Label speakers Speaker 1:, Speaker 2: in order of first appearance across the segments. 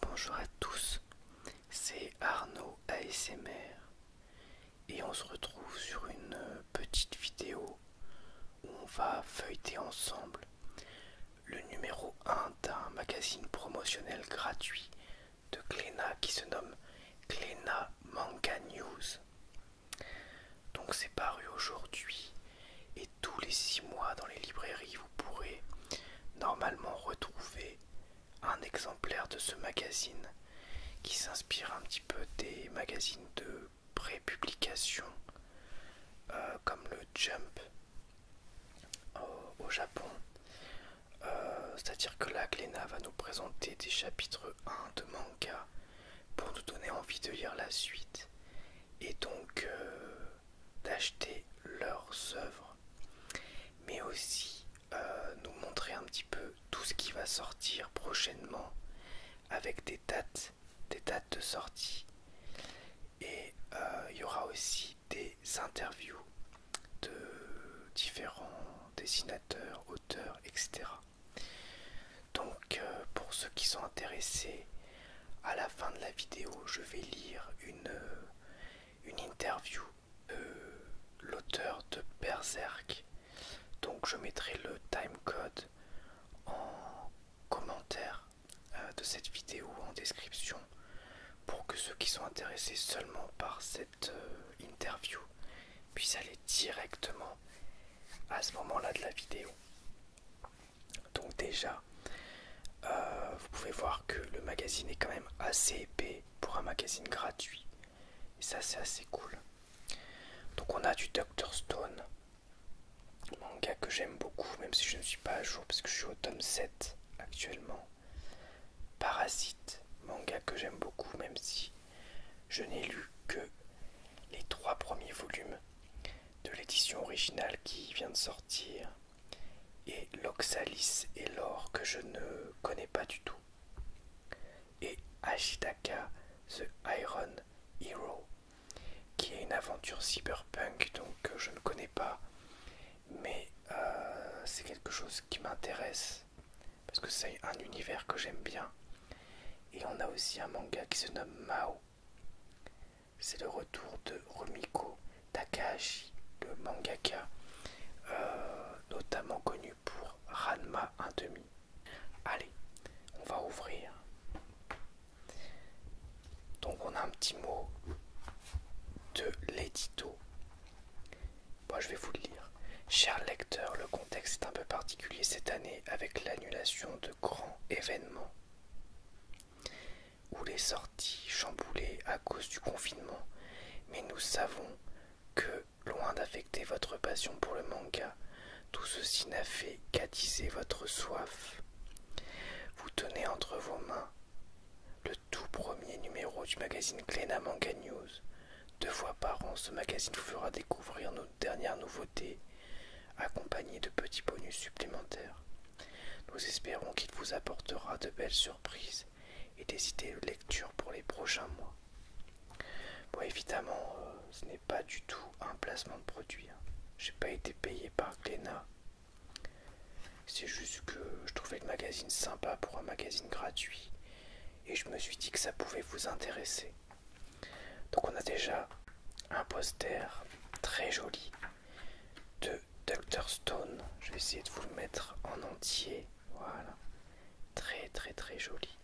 Speaker 1: Bonjour à tous, c'est Arnaud ASMR et on se retrouve sur une petite vidéo où on va feuilleter ensemble le numéro 1 d'un magazine promotionnel gratuit de Klena qui se nomme Klena Manga News. Donc c'est paru aujourd'hui et tous les six mois dans les librairies vous pourrez normalement retrouver un exemplaire de ce magazine qui s'inspire un petit peu des magazines de prépublication publication euh, comme le Jump euh, au Japon euh, c'est-à-dire que là, Gléna va nous présenter des chapitres 1 de manga pour nous donner envie de lire la suite et donc euh, d'acheter leurs œuvres, mais aussi euh, nous montrer un petit peu tout ce qui va sortir prochainement avec des dates, des dates de sortie. Et il y aura aussi des interviews de différents dessinateurs, auteurs, etc. Donc euh, pour ceux qui sont intéressés, à la fin de la vidéo, je vais lire une, euh, une interview de euh, l'auteur de Berserk. Donc je mettrai le timecode en commentaire de cette vidéo en description pour que ceux qui sont intéressés seulement par cette euh, interview puis aller directement à ce moment-là de la vidéo. Donc déjà, euh, vous pouvez voir que le magazine est quand même assez épais pour un magazine gratuit. Et ça, c'est assez cool. Donc on a du Dr Stone, manga que j'aime beaucoup, même si je ne suis pas à jour parce que je suis au tome 7 actuellement. Parasite, manga que j'aime beaucoup, même si je n'ai lu que les trois premiers volumes de l'édition originale qui vient de sortir, et L'Oxalis et l'or que je ne connais pas du tout, et Ashitaka The Iron Hero, qui est une aventure cyberpunk, donc euh, je ne connais pas, mais euh, c'est quelque chose qui m'intéresse parce que c'est un univers que j'aime bien. Et on a aussi un manga qui se nomme Mao. C'est le retour de Rumiko Takahashi, le mangaka, euh, notamment connu pour Ranma 1.5. Allez, on va ouvrir. Donc on a un petit mot de l'édito moi, bah, je vais vous le lire. Cher lecteur, le contexte est un peu particulier cette année avec l'annulation de grands événements ou les sorties chamboulées à cause du confinement. Mais nous savons que, loin d'affecter votre passion pour le manga, tout ceci n'a fait qu'attiser votre soif. Vous tenez entre vos mains le tout premier numéro du magazine Glena Manga News, deux fois par an, ce magazine vous fera découvrir nos dernières nouveautés, accompagnées de petits bonus supplémentaires. Nous espérons qu'il vous apportera de belles surprises et des idées de lecture pour les prochains mois. Bon, évidemment, euh, ce n'est pas du tout un placement de produit. Hein. Je n'ai pas été payé par Glénat. C'est juste que je trouvais le magazine sympa pour un magazine gratuit et je me suis dit que ça pouvait vous intéresser. Donc on a déjà un poster très joli de Dr Stone. Je vais essayer de vous le mettre en entier. Voilà. Très très très joli.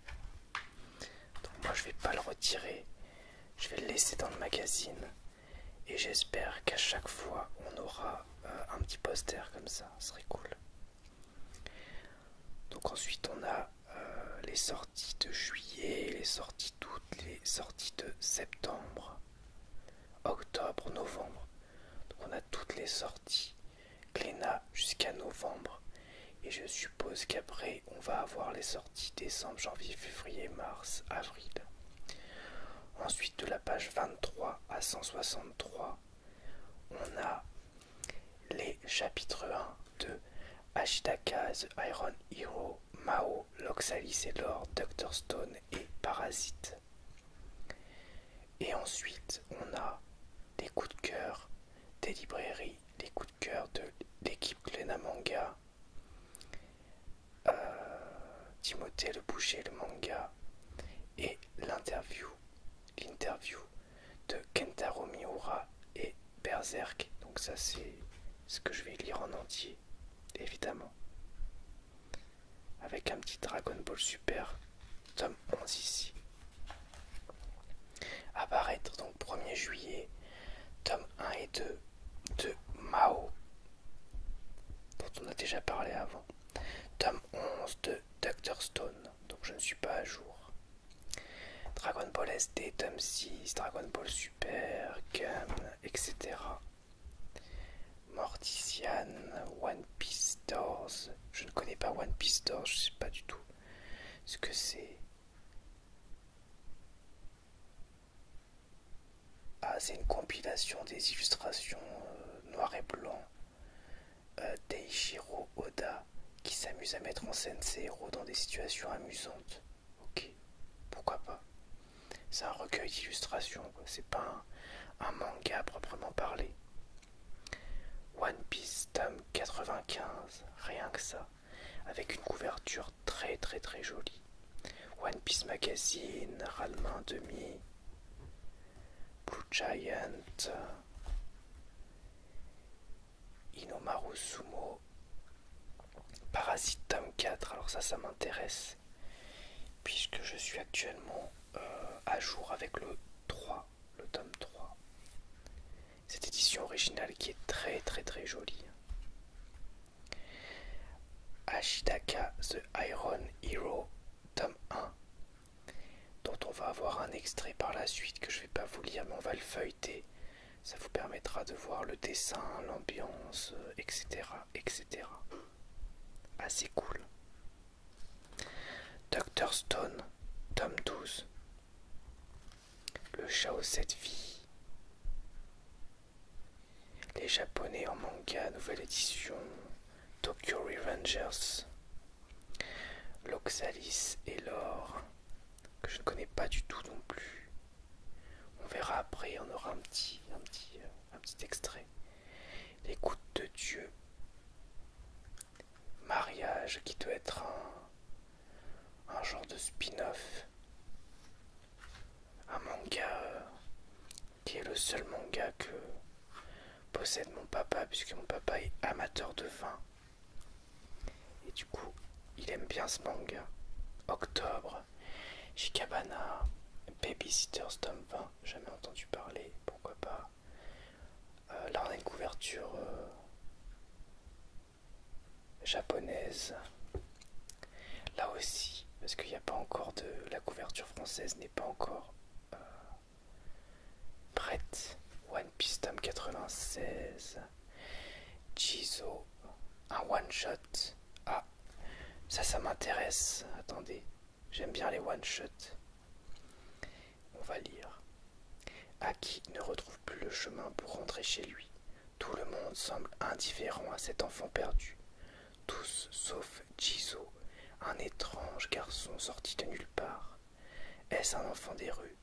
Speaker 1: Donc moi je vais pas le retirer. Je vais le laisser dans le magazine. Et j'espère qu'à chaque fois on aura euh, un petit poster comme ça. Ce serait cool. Donc ensuite on a euh, les sorties de juillet, les sorties d'août, les sorties de septembre, octobre, novembre. Donc on a toutes les sorties Glénat jusqu'à novembre. Et je suppose qu'après on va avoir les sorties décembre, janvier, février, mars, avril. Ensuite de la page 23 à 163, on a les chapitres 1 de Ashitakaze, Iron Hero, Mao, Loxalis et Lord, Dr. Stone et Parasite. Et ensuite, on a les coups de cœur des librairies, les coups de cœur de l'équipe Glena Manga, euh, Timothée Le Boucher, le manga, et l'interview, l'interview de Kentaro Miura et Berserk. Donc ça c'est ce que je vais lire en entier, évidemment. Avec un petit Dragon Ball Super, tome 11 ici. Apparaître donc 1er juillet, tome 1 et 2 de Mao, dont on a déjà parlé avant. Tome 11 de Dr Stone, donc je ne suis pas à jour. Dragon Ball SD, Tom 6, Dragon Ball Super, etc. Mortician, One Piece Doors. Je ne connais pas One Piece Doors, je ne sais pas du tout ce que c'est. Ah, c'est une compilation des illustrations euh, noir et blanc Deichiro euh, Oda qui s'amuse à mettre en scène ses héros dans des situations amusantes. Ok, pourquoi pas C'est un recueil d'illustrations, c'est pas un, manga proprement parlé. One Piece tome 95, rien que ça, avec une couverture très très très jolie. One Piece Magazine, Ralmain Demi, Blue Giant, Inomaru Sumo, Parasite tome 4, alors ça, ça m'intéresse, puisque je suis actuellement euh, à jour avec le 3, le tome 3. Cette édition originale qui est très très très jolie. Ashidaka The Iron Hero, tome 1, dont on va avoir un extrait par la suite que je vais pas vous lire, mais on va le feuilleter. Ça vous permettra de voir le dessin, l'ambiance, etc., euh, etc. Assez cool. Dr Stone, tome 12. Le chat aux 7 vies. Les Japonais en manga, nouvelle édition. Tokyo Revengers. L'Oxalis et l'or que je ne connais pas du tout non plus. On verra après, on aura un petit, un petit, euh, un petit extrait. L'écoute de Dieu. Mariage qui doit être un, un genre de spin-off. Un manga euh, qui est le seul manga que possède mon papa, puisque mon papa est amateur de vin. Et du coup, il aime bien ce manga. Octobre, Shikabana, Babysitter's tome 20, jamais entendu parler, pourquoi pas. Euh, là, on a une couverture euh, japonaise. Là aussi, parce qu'il n'y a pas encore de. La couverture française n'est pas encore. Euh, Brett, One Piece 96, Jizo, un one shot. Ah, ça, ça m'intéresse. Attendez, j'aime bien les one shots. On va lire. Aki ne retrouve plus le chemin pour rentrer chez lui. Tout le monde semble indifférent à cet enfant perdu. Tous sauf Jizo, un étrange garçon sorti de nulle part. Est-ce un enfant des rues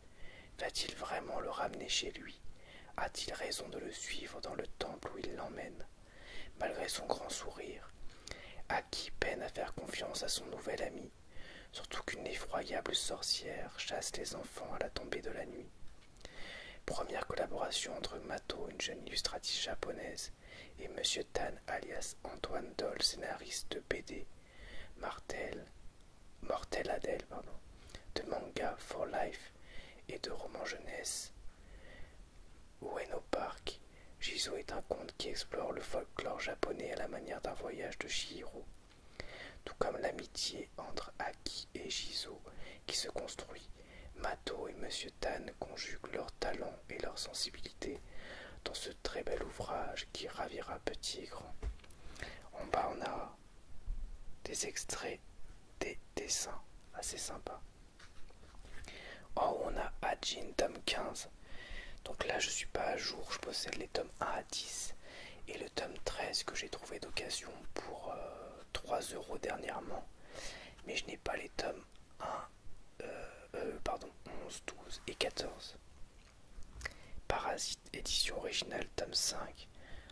Speaker 1: Va-t-il vraiment le ramener chez lui A-t-il raison de le suivre dans le temple où il l'emmène Malgré son grand sourire, à qui peine à faire confiance à son nouvel ami, surtout qu'une effroyable sorcière chasse les enfants à la tombée de la nuit. Première collaboration entre Mato, une jeune illustratrice japonaise, et Monsieur Tan, alias Antoine Doll, scénariste de BD, Martel, Mortel Adèle, pardon, de manga for life et de roman jeunesse. Ueno Park, Jizo est un conte qui explore le folklore japonais à la manière d'un voyage de Shihiro, tout comme l'amitié entre Aki et Jizo qui se construit. Mato et Monsieur Tan conjuguent leurs talents et leurs sensibilités dans ce très bel ouvrage qui ravira petit et grand. En bas, on a des extraits, des dessins assez sympas. En haut, on a Adjin, tome 15. Donc là, je suis pas à jour, je possède les tomes 1 à 10 et le tome 13 que j'ai trouvé d'occasion pour 3 euh, euros dernièrement. Mais je n'ai pas les tomes 1, euh, euh, pardon, 11, 12 et 14. Parasite, édition originale, tome 5.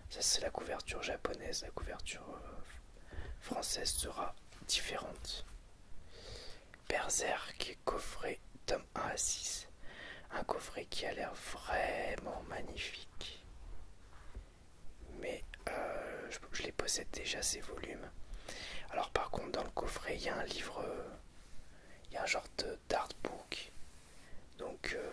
Speaker 1: Ça, c'est la couverture japonaise. La couverture euh, française sera différente. Berserk, coffret, tome 1 à 6. Un coffret qui a l'air vraiment magnifique. Mais euh, je les possède déjà, ces volumes. Alors, par contre, dans le coffret, il y a un livre. Euh, il y a un genre de d'artbook. Donc euh,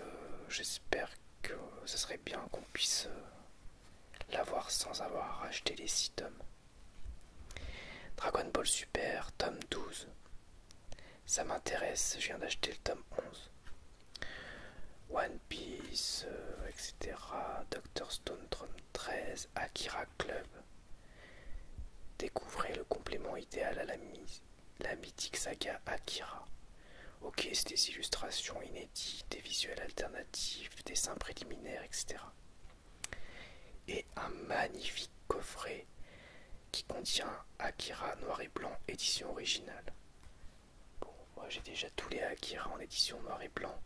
Speaker 1: j'espère que ce serait bien qu'on puisse euh, l'avoir sans avoir acheté les 6 tomes. Dragon Ball Super, tome 12. Ça m'intéresse, je viens d'acheter le tome 11. One Piece, euh, etc. Doctor Stone, tome 13. Akira Club. Découvrez le complément idéal à la mise la mythique saga Akira. Ok, c'est des illustrations inédites, des visuels alternatifs, dessins préliminaires, etc. Et un magnifique coffret qui contient Akira noir et blanc, édition originale. Bon, moi j'ai déjà tous les Akira en édition noir et blanc,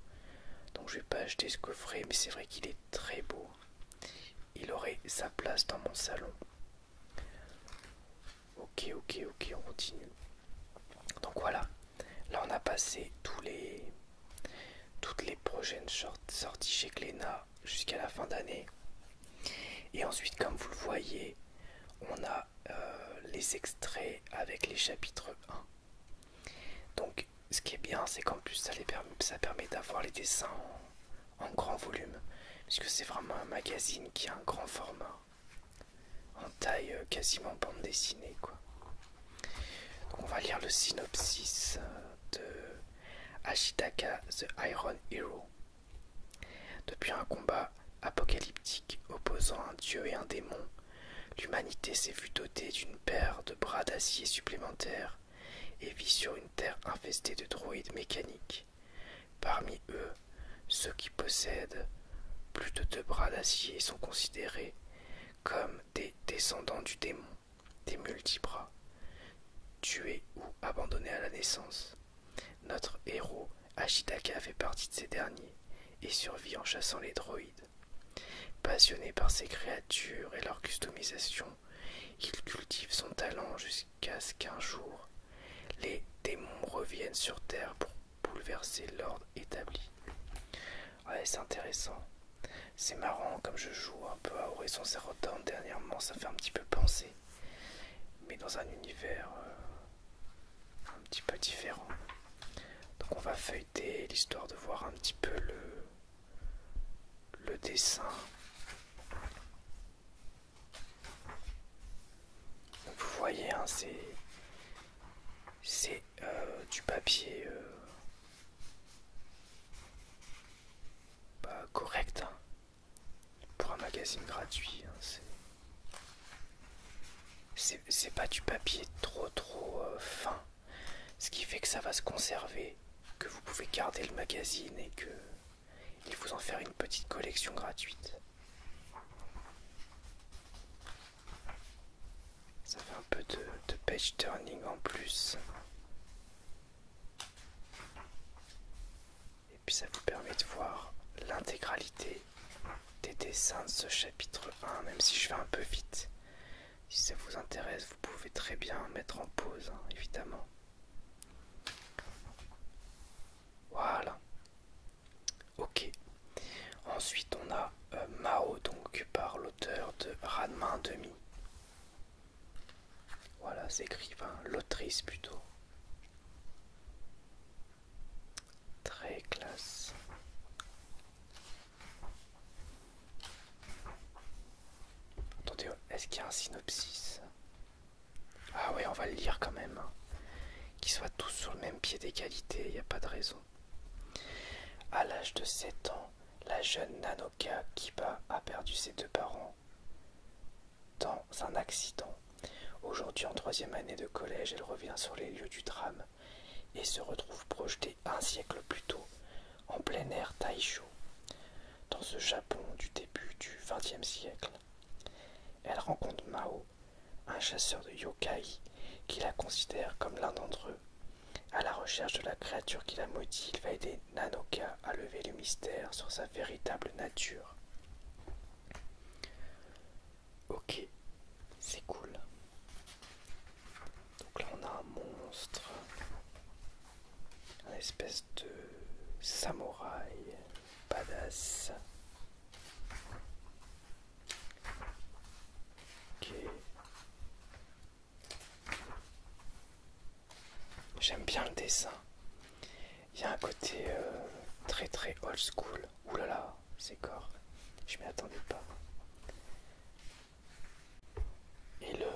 Speaker 1: donc je vais pas acheter ce coffret, mais c'est vrai qu'il est très beau. Il aurait sa place dans mon salon. Ok, ok, ok, on continue. Donc voilà, là on a passé tous les, toutes les prochaines sorties chez Glénat jusqu'à la fin d'année. Et ensuite, comme vous le voyez, on a euh, les extraits avec les chapitres 1. Donc ce qui est bien, c'est qu'en plus ça, permet, ça permet d'avoir les dessins en grand volume, puisque c'est vraiment un magazine qui a un grand format, en taille euh, quasiment bande dessinée. Quoi. on va lire le synopsis euh, de Ashitaka The Iron Hero. Depuis un combat apocalyptique opposant un dieu et un démon, l'humanité s'est vue dotée d'une paire de bras d'acier supplémentaires et vit sur une terre infestée de droïdes mécaniques. Parmi eux, ceux qui possèdent plus de deux bras d'acier sont considérés comme des descendants du démon, des multibras, tués ou abandonnés à la naissance. Notre héros, Ashitaka, fait partie de ces derniers et survit en chassant les droïdes. Passionné par ces créatures et leur customisation, il cultive son talent jusqu'à Qu'à ce qu'un jour les démons reviennent sur Terre pour bouleverser l'ordre établi. Ouais, c'est intéressant. C'est marrant, comme je joue un peu à Horizon Zero Dawn dernièrement, ça fait un petit peu penser. Mais dans un univers euh, un petit peu différent. Donc on va feuilleter l'histoire de voir un petit peu le, le dessin vous voyez, hein, c'est euh, du papier euh, correct hein. pour un magazine gratuit. Hein, c'est pas du papier trop trop euh, fin, ce qui fait que ça va se conserver, que vous pouvez garder le magazine et que il vous en faire une petite collection gratuite. Ça fait un peu de, page turning en plus. Et puis ça vous permet de voir l'intégralité des dessins de ce chapitre 1, même si je vais un peu vite. Si ça vous intéresse, vous pouvez très bien mettre en pause, hein, évidemment. Voilà. Ok. Ensuite, on a euh, Mao, donc par l'auteur de Radman demi. Voilà, c'est écrit, l'autrice plutôt. Très classe. Attendez, est-ce qu'il y a un synopsis ah ouais, on va le lire quand même. Hein. Qu'ils soient tous sur le même pied d'égalité, il n'y a pas de raison. À l'âge de 7 ans, la jeune Nanoka Kiba a perdu ses deux parents dans un accident. Aujourd'hui, en troisième année de collège, elle revient sur les lieux du drame et se retrouve projetée un siècle plus tôt en plein air Taisho, dans ce Japon du début du XXe siècle elle rencontre Mao, un chasseur de yokai qui la considère comme l'un d'entre eux. À la recherche de la créature qui la maudit, il va aider Nanoka à lever le mystère sur sa véritable nature. Ok, c'est cool. Donc là on a un monstre, un espèce de samouraï. Badass. J'aime bien le dessin. Il y a un côté euh, très très old school. Ouh là là, c'est corps. Je m'y attendais pas. Et le,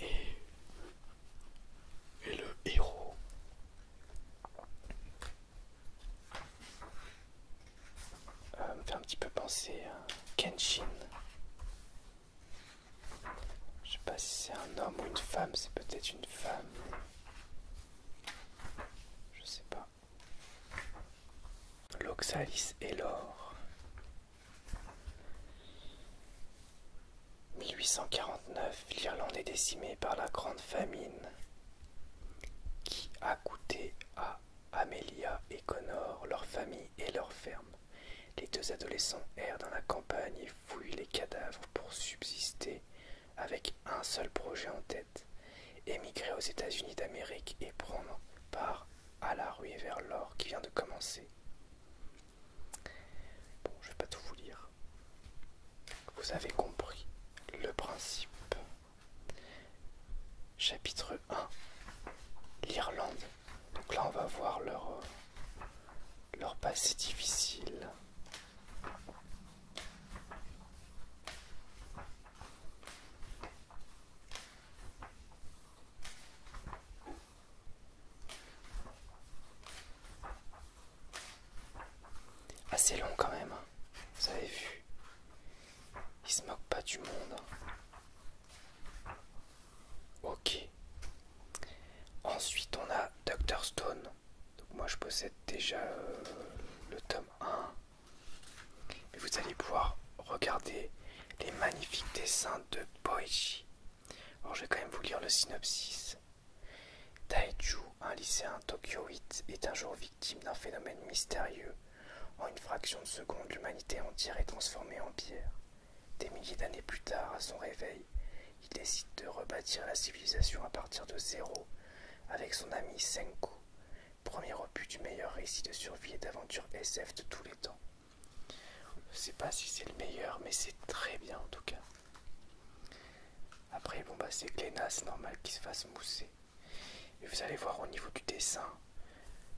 Speaker 1: et, le héros euh, me fait un petit peu penser à Kenshin. Je sais pas si c'est un homme ou une femme, c'est peut-être une femme. Je sais pas. L'oxalis et l'or. 1849, l'Irlande est décimée par la Grande Famine qui a coûté à Amelia et Connor leur famille et leur ferme. Les deux adolescents errent dans la campagne et fouillent les cadavres pour subsister avec un seul projet en tête, émigrer aux États-Unis d'Amérique et prendre part à la ruée vers l'or qui vient de commencer. Bon, je vais pas tout vous lire. Vous avez compris le principe. Chapitre 1. L'Irlande. Donc là, on va voir leur, euh, leur passé difficile. Assez long quand même, hein. vous avez vu. Il se moque pas du monde. Hein. Ok. Ensuite on a Dr Stone. Donc moi je possède déjà euh, le tome 1. Mais vous allez pouvoir regarder les magnifiques dessins de Boichi Or je vais quand même vous lire le synopsis. Taichu, un lycéen tokyoïte, est un jour victime d'un phénomène mystérieux. En une fraction de seconde, l'humanité entière est transformée en pierre. Des milliers d'années plus tard, à son réveil, il décide de rebâtir la civilisation à partir de zéro avec son ami Senku, premier opus du meilleur récit de survie et d'aventure SF de tous les temps. Je sais pas si c'est le meilleur, mais c'est très bien en tout cas. Après, bon, bah c'est Glena, c'est normal qu'il se fasse mousser. Et vous allez voir au niveau du dessin,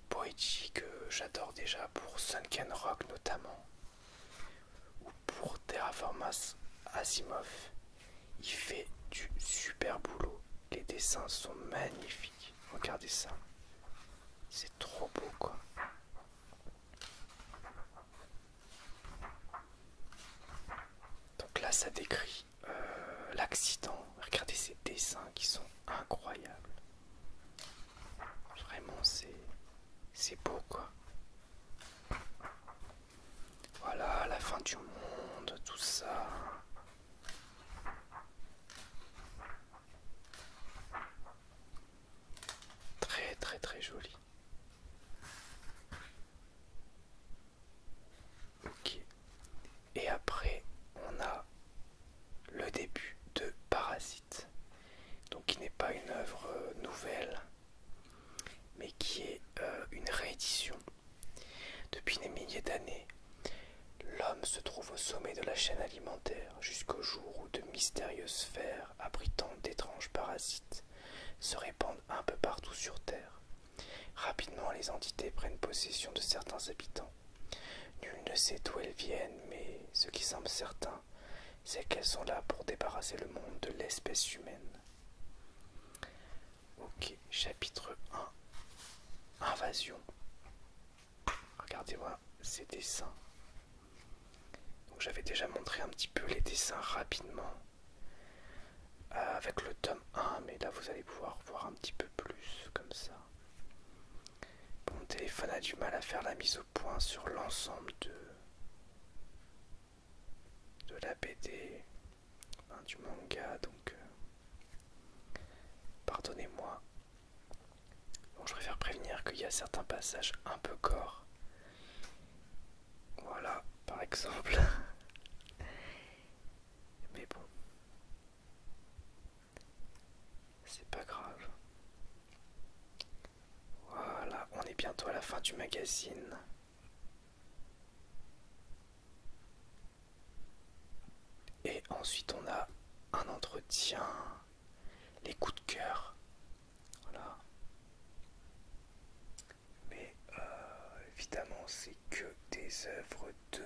Speaker 1: Boichi que j'adore déjà pour Sunken Rock notamment, ou pour Terraformas Asimov, il fait du super boulot. Les dessins sont magnifiques. Regardez ça. C'est trop beau quoi. Donc là, ça décrit euh, l'accident. Regardez ces dessins qui sont incroyables. Vraiment, c'est beau, quoi. Voilà, la fin du monde, tout ça. Très très très joli. Ok. Et après, on a le début de Parasite. Donc qui n'est pas une œuvre euh, nouvelle, mais qui est euh, une réédition. Depuis des milliers d'années, l'homme se trouve au sommet de la chaîne alimentaire jusqu'au jour où de mystérieuses sphères abritant d'étranges parasites, se répandent un peu partout sur Terre. Rapidement, les entités prennent possession de certains habitants. Nul ne sait d'où elles viennent, mais ce qui semble certain, c'est qu'elles sont là pour débarrasser le monde de l'espèce humaine. Ok, chapitre 1. Invasion. Regardez-moi ces dessins. Donc j'avais déjà montré un petit peu les dessins rapidement euh, avec le tome 1, mais là vous allez pouvoir voir un petit peu plus comme ça. Mon téléphone a du mal à faire la mise au point sur l'ensemble de, de la BD, hein, du manga, donc euh, pardonnez-moi. je préfère prévenir qu'il y a certains passages un peu corps voilà, par exemple. Mais bon. C'est pas grave. Voilà, on est bientôt à la fin du magazine. Et ensuite on a un entretien, les coups de cœur voilà. Mais euh, évidemment, c'est que des œuvres de,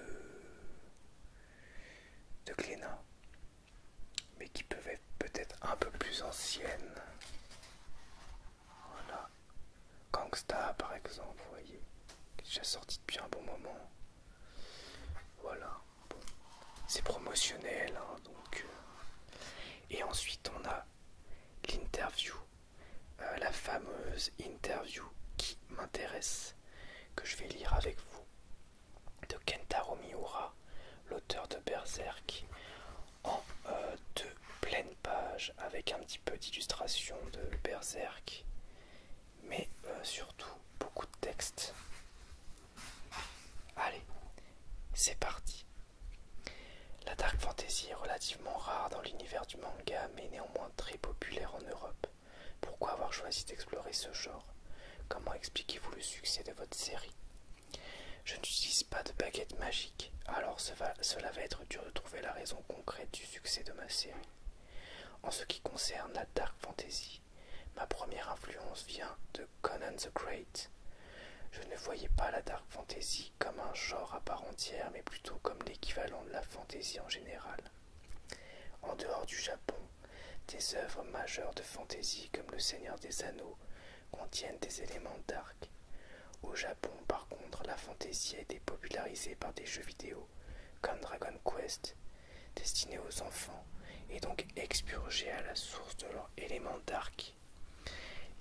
Speaker 1: de Glénat, mais qui peuvent être peut-être un peu plus anciennes. Voilà. Gangsta, par exemple, vous voyez, qui est déjà sorti depuis un bon moment. Voilà c'est promotionnel hein, donc euh. et ensuite on a l'interview euh, la fameuse interview qui m'intéresse que je vais lire avec vous de Kentaro Miura l'auteur de Berserk en euh, deux pleines pages avec un petit peu d'illustration de Berserk mais surtout beaucoup de texte allez c'est parti la dark fantasy est relativement rare dans l'univers du manga, mais néanmoins très populaire en Europe. Pourquoi avoir choisi d'explorer ce genre Comment expliquez-vous le succès de votre série Je n'utilise pas de baguette magique, alors cela va être dur de trouver la raison concrète du succès de ma série. En ce qui concerne la dark fantasy, ma première influence vient de Conan the Great. Je ne voyais pas la dark fantasy comme un genre à part entière, mais plutôt comme l'équivalent de la fantasy en général. En dehors du Japon, des œuvres majeures de fantasy comme Le Seigneur des Anneaux contiennent des éléments dark. Au Japon, par contre, la fantasy a été popularisée par des jeux vidéo comme Dragon Quest, destinés aux enfants et donc expurgés à la source de leurs éléments dark.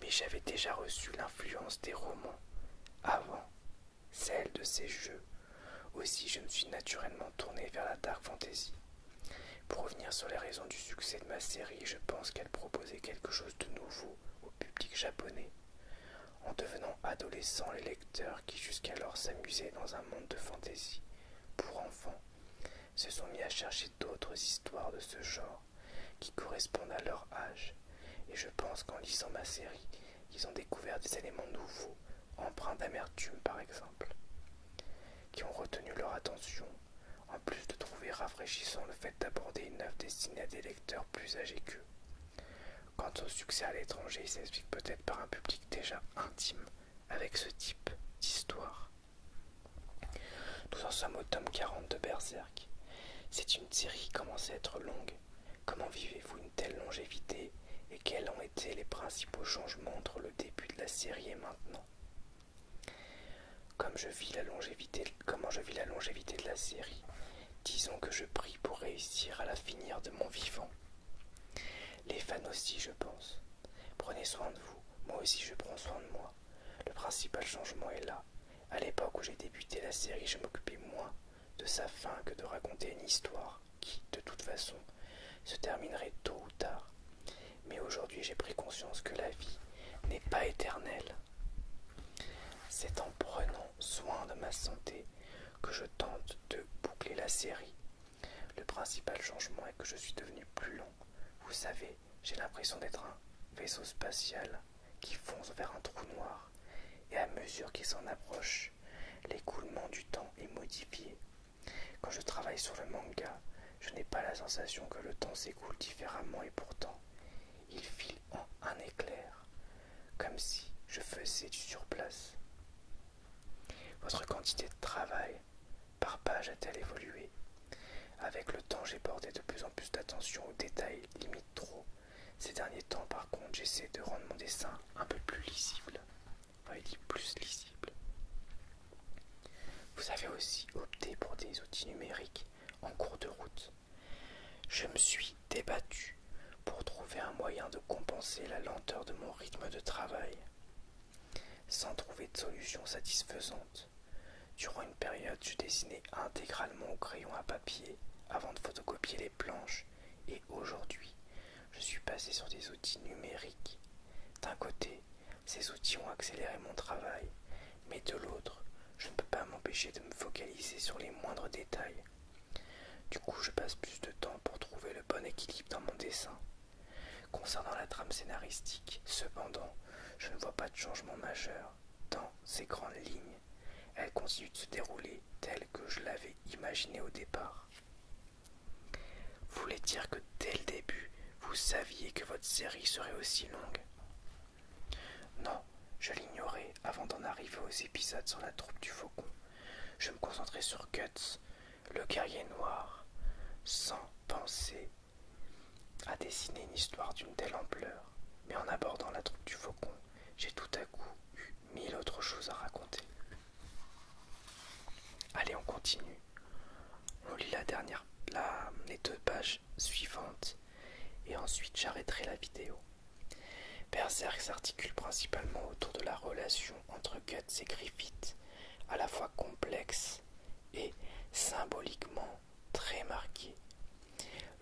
Speaker 1: Mais j'avais déjà reçu l'influence des romans avant celle de ces jeux. Aussi je me suis naturellement tourné vers la dark fantasy. Pour revenir sur les raisons du succès de ma série, je pense qu'elle proposait quelque chose de nouveau au public japonais. En devenant adolescent, les lecteurs qui jusqu'alors s'amusaient dans un monde de fantasy pour enfants se sont mis à chercher d'autres histoires de ce genre qui correspondent à leur âge, et je pense qu'en lisant ma série, ils ont découvert des éléments nouveaux, empreints d'amertume par exemple, qui ont retenu leur attention, en plus de trouver rafraîchissant le fait d'aborder une œuvre destinée à des lecteurs plus âgés qu'eux. Quant au succès à l'étranger, il s'explique peut-être par un public déjà intime avec ce type d'histoire nous en sommes au tome 40 de Berserk. C'est une série qui commence à être longue. Comment vivez-vous une telle longévité et quels ont été les principaux changements entre le début de la série et maintenant Comme je vis la longévité, comment je vis la longévité de la série Disons que je prie pour réussir à la finir de mon vivant. Les fans aussi, je pense. Prenez soin de vous, moi aussi je prends soin de moi. Le principal changement est là. À l'époque où j'ai débuté la série, je m'occupais moins de sa fin que de raconter une histoire qui, de toute façon, se terminerait tôt ou tard. Mais aujourd'hui, j'ai pris conscience que la vie n'est pas éternelle. C'est en prenant soin de ma santé que je tente de boucler la série. Le principal changement est que je suis devenu plus long. Vous savez, j'ai l'impression d'être un vaisseau spatial qui fonce vers un trou noir, et à mesure qu'il s'en approche, l'écoulement du temps est modifié. Quand je travaille sur le manga, je n'ai pas la sensation que le temps s'écoule différemment et pourtant, il file en un éclair, comme si je faisais du surplace. Votre quantité de travail par page a-t-elle évolué Avec le temps, j'ai porté de plus en plus d'attention aux détails, limite trop. Ces derniers temps, par contre, j'essaie de rendre mon dessin un peu plus lisible. plus lisible. Vous avez aussi opté pour des outils numériques en cours de route. Je me suis débattu pour trouver un moyen de compenser la lenteur de mon rythme de travail. Sans trouver de solution satisfaisante, Durant une période, je dessinais intégralement au crayon à papier avant de photocopier les planches et aujourd'hui, je suis passé sur des outils numériques. D'un côté, ces outils ont accéléré mon travail, mais de l'autre, je ne peux pas m'empêcher de me focaliser sur les moindres détails. Du coup, je passe plus de temps pour trouver le bon équilibre dans mon dessin. Concernant la trame scénaristique, cependant, je ne vois pas de changement majeur dans ces grandes lignes. Elles continuent de se dérouler telles que je l'avais imaginé au départ. Vous voulez dire que dès le début, vous saviez que votre série serait aussi longue Non, je l'ignorais avant d'en arriver aux épisodes sur la troupe du faucon. Je me concentrais sur Guts, le guerrier noir, sans penser à dessiner une histoire d'une telle ampleur, mais en abordant la troupe du faucon, j'ai tout à coup eu mille autres choses à raconter. Allez, on continue. On lit la dernière, les deux pages suivantes, et ensuite j'arrêterai la vidéo. Berserk s'articule principalement autour de la relation entre Guts et Griffith, à la fois complexe et symboliquement très marqué.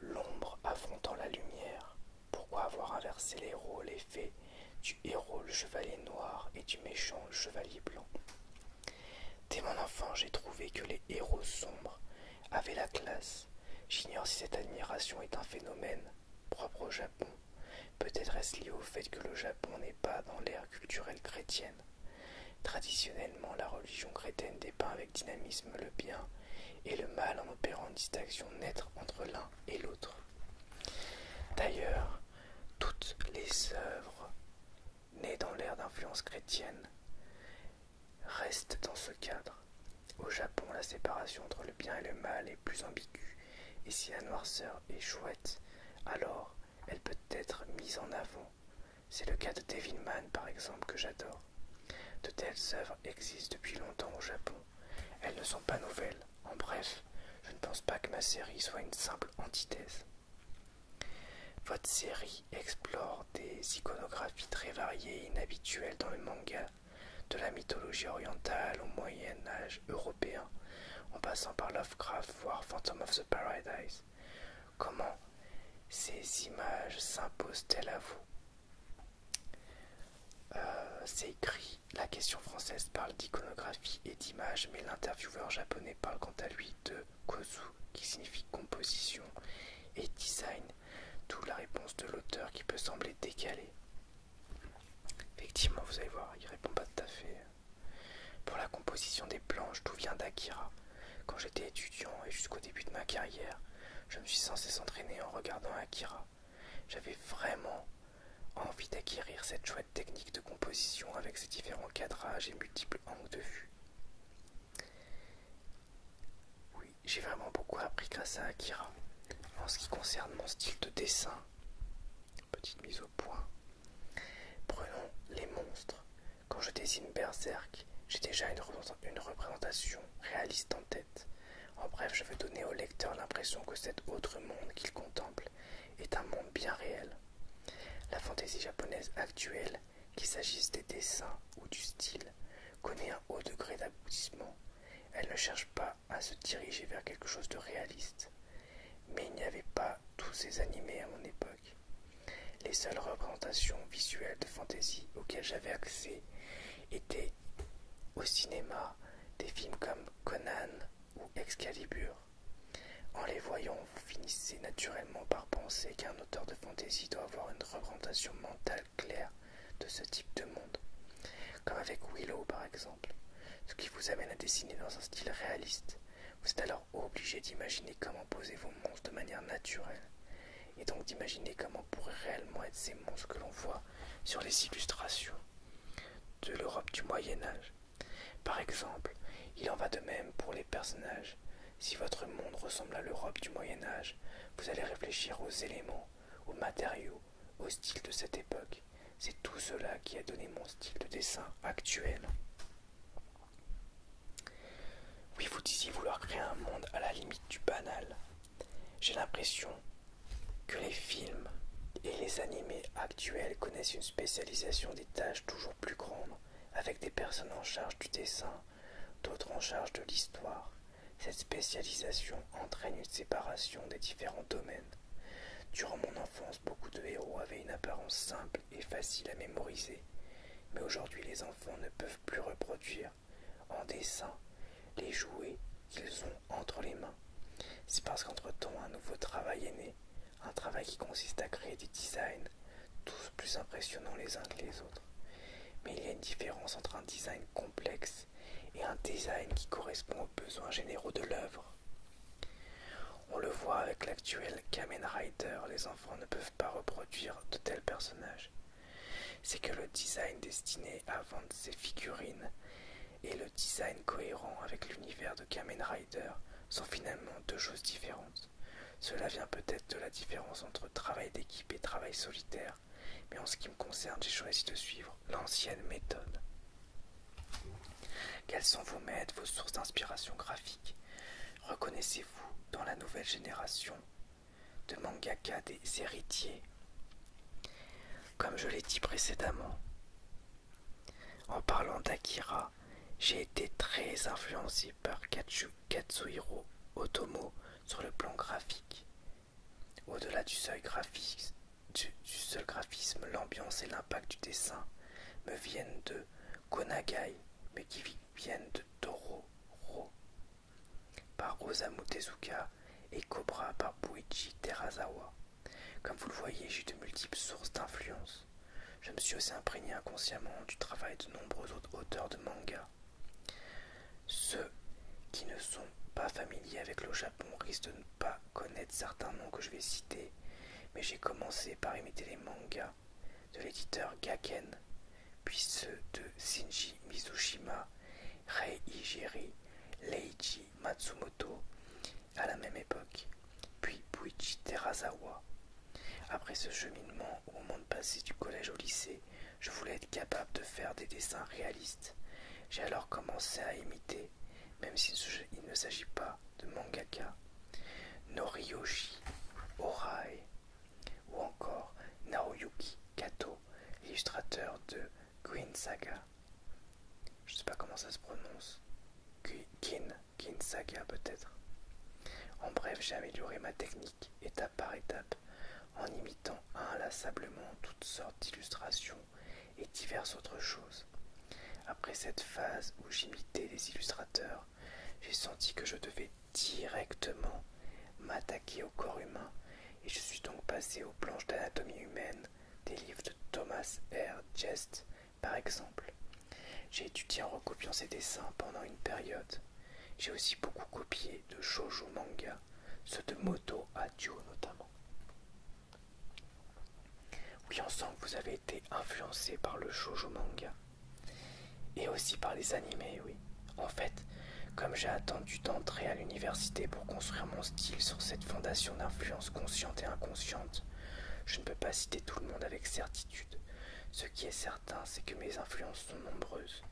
Speaker 1: L'ombre affrontant la lumière. Pourquoi avoir inversé les rôles et du héros le chevalier noir et du méchant le chevalier blanc Dès mon enfant, j'ai trouvé que les héros sombres avaient la classe. J'ignore si cette admiration est un phénomène propre au Japon. Peut-être est-ce lié au fait que le Japon n'est pas dans l'ère culturelle chrétienne. Traditionnellement, la religion chrétienne dépeint avec dynamisme le bien et le mal en opérant une distinction nette entre l'un et l'autre. D'ailleurs, toutes les œuvres nées dans l'ère d'influence chrétienne restent dans ce cadre. Au Japon, la séparation entre le bien et le mal est plus ambiguë, et si la noirceur est chouette, alors elle peut être mise en avant c'est le cas de Devilman par exemple que j'adore. De telles œuvres existent depuis longtemps au Japon. Elles ne sont pas nouvelles. En bref, je ne pense pas que ma série soit une simple antithèse. Votre série explore des iconographies très variées et inhabituelles dans le manga, de la mythologie orientale au Moyen Âge européen, en passant par Lovecraft voire Phantom of the Paradise. Comment ces images s'imposent-elles à vous euh, C'est écrit, la question française parle d'iconographie et d'image, mais l'intervieweur japonais parle quant à lui de kozu, qui signifie composition et design, d'où la réponse de l'auteur qui peut sembler décalée. Effectivement, vous allez voir, il répond pas tout à fait. Pour la composition des planches, d'où vient d'Akira. Quand j'étais étudiant et jusqu'au début de ma carrière, je me suis censé s'entraîner en regardant Akira. J'avais vraiment envie d'acquérir cette chouette technique de composition avec ses différents cadrages et multiples angles de vue. Oui, j'ai vraiment beaucoup appris grâce à Akira. En ce qui concerne mon style de dessin, petite mise au point, prenons les monstres. Quand je dessine Berserk, j'ai déjà une, représentation réaliste en tête. En bref, je veux donner au lecteur l'impression que cet autre monde qu'il contemple est un monde bien réel. La fantaisie japonaise actuelle, qu'il s'agisse des dessins ou du style, connaît un haut degré d'aboutissement. Elle ne cherche pas à se diriger vers quelque chose de réaliste. Mais il n'y avait pas tous ces animés à mon époque. Les seules représentations visuelles de fantasy auxquelles j'avais accès étaient au cinéma des films comme Conan ou Excalibur. En les voyant, vous finissez naturellement par penser qu'un auteur de fantasy doit avoir une représentation mentale claire de ce type de monde, comme avec Willow par exemple, ce qui vous amène à dessiner dans un style réaliste. Vous êtes alors obligé d'imaginer comment poser vos monstres de manière naturelle, et donc d'imaginer comment pourraient réellement être ces monstres que l'on voit sur les illustrations de l'Europe du Moyen Âge. Par exemple, il en va de même pour les personnages. Si votre monde ressemble à l'Europe du Moyen Âge, vous allez réfléchir aux éléments, aux matériaux, au style de cette époque. C'est tout cela qui a donné mon style de dessin actuel. Oui, vous disiez vouloir créer un monde à la limite du banal. J'ai l'impression que les films et les animés actuels connaissent une spécialisation des tâches toujours plus grande avec des personnes en charge du dessin, d'autres en charge de l'histoire. Cette spécialisation entraîne une séparation des différents domaines. Durant mon enfance, beaucoup de héros avaient une apparence simple et facile à mémoriser, mais aujourd'hui les ne peuvent plus reproduire en dessin les jouets qu'ils ont entre les mains. C'est parce qu'entre-temps un nouveau travail est né, un travail qui consiste à créer des designs, tous plus impressionnants les uns que les autres. Mais il y a une différence entre un design complexe et un design qui correspond aux besoins généraux de l'œuvre. On le voit avec l'actuel Kamen Rider, les enfants ne peuvent pas reproduire de tels personnages. C'est que le design destiné à vendre ces figurines et le design cohérent avec l'univers de Kamen Rider sont finalement deux choses différentes. Cela vient peut-être de la différence entre travail d'équipe et travail solitaire, mais en ce qui me concerne, j'ai choisi de suivre l'ancienne méthode. Quels sont vos maîtres, vos sources d'inspiration graphique Reconnaissez-vous dans la nouvelle génération de mangaka des héritiers. Comme je l'ai dit précédemment, en parlant d'Akira, j'ai été très influencé par Katsuhiro Otomo sur le plan graphique. Au-delà du seul graphisme, l'ambiance et l'impact du dessin me viennent de Konagai, mais qui viennent de Toro, par Osamu Tezuka et Cobra par Buichi Terazawa. Comme vous le voyez, j'ai de multiples sources d'influence. Je me suis aussi imprégné inconsciemment du travail de nombreux autres auteurs de mangas Ceux qui ne sont pas familiers avec le Japon risquent de ne pas connaître certains noms que je vais citer, mais j'ai commencé par imiter les mangas de l'éditeur Gaken, puis ceux de Shinji Mizushima, Rei Hijiri, Leiji Matsumoto à la même époque, puis Buichi Terazawa. Après ce cheminement, au moment de du collège au lycée, je voulais être capable de faire des dessins réalistes. J'ai alors commencé à imiter, même s'il ne s'agit pas de mangaka, Noriyoshi Orai, ou encore Naoyuki Kato, illustrateur de Queen Saga. Je ne sais pas comment ça se prononce. Kin, Saga peut-être. En bref, j'ai amélioré ma technique étape par étape en imitant inlassablement toutes sortes d'illustrations et diverses autres choses. Après cette phase où j'imitais les illustrateurs, j'ai senti que je devais directement m'attaquer au corps humain et je suis donc passé aux planches d'anatomie humaine des livres de Thomas R. Jest par exemple. J'ai étudié en recopiant ses dessins pendant une période. J'ai aussi beaucoup copié de shoujo manga, ceux de Moto Adio notamment. Oui, on vous avez été influencé par le shoujo manga. Et aussi par les animés, oui. En fait, comme j'ai attendu d'entrer à l'université pour construire mon style sur cette fondation d'influences consciente et inconsciente, je ne peux pas citer tout le monde avec certitude. Ce qui est certain, c'est que mes influences sont nombreuses.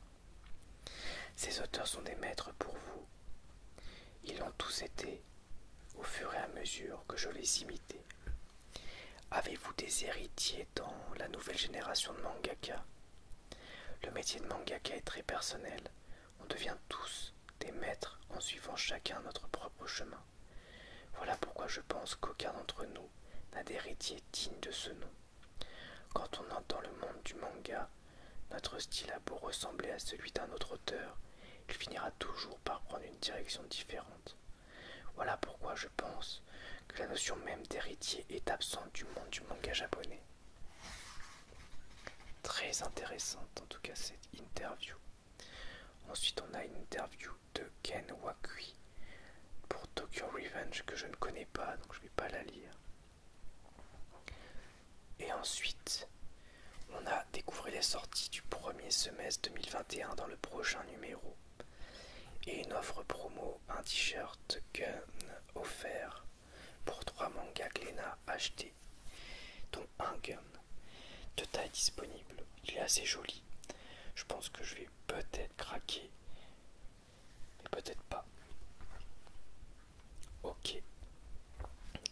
Speaker 1: Ces auteurs sont des maîtres pour vous. Ils l'ont tous été au fur et à mesure que je les imitais. Avez-vous des héritiers dans la nouvelle génération de mangaka le métier de mangaka est très personnel. On devient tous des maîtres en suivant chacun notre propre chemin. Voilà pourquoi je pense qu'aucun d'entre nous n'a d'héritier digne de ce nom. Quand on entend le monde du manga, notre style a beau ressembler à celui d'un autre auteur, il finira toujours par prendre une direction différente. Voilà pourquoi je je pense que la notion même d'héritier est absente du monde du manga japonais. Très intéressante en tout cas cette interview. Ensuite on a une interview de Ken Wakui pour Tokyo Revenge que je ne connais pas donc je ne vais pas la lire. Et ensuite on a découvert les sorties du premier semestre 2021 dans le prochain numéro et une offre promo, un t-shirt gun offert pour trois mangas Glena acheté, donc un gun de taille disponible. Il est assez joli. Je pense que je vais peut-être craquer, mais peut-être pas. Ok.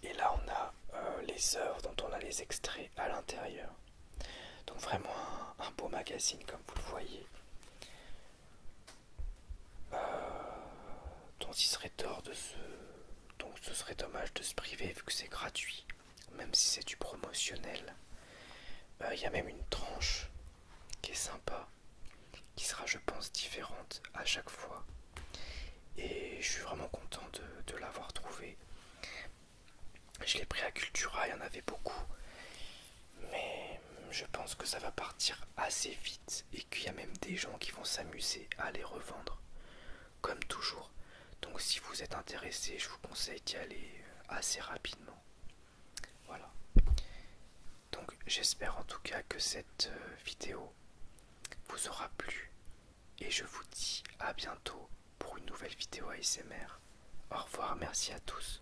Speaker 1: Et là, on a euh, les œuvres dont on a les extraits à l'intérieur. Donc vraiment un beau magazine comme vous le voyez donc, euh, il serait tort de se... donc ce serait dommage de se priver vu que c'est gratuit, même si c'est du promotionnel. Il euh, y a même une tranche qui est sympa, qui sera je pense différente à chaque fois. Et je suis vraiment content de, l'avoir trouvé. Je l'ai pris à Cultura, il y en avait beaucoup. Mais je pense que ça va partir assez vite et qu'il y a même des gens qui vont s'amuser à les revendre. Comme toujours. Donc si vous êtes intéressé, je vous conseille d'y aller euh, assez rapidement. Voilà. Donc j'espère en tout cas que cette euh, vidéo vous aura plu. Et je vous dis à bientôt pour une nouvelle vidéo ASMR. Au revoir, merci à tous.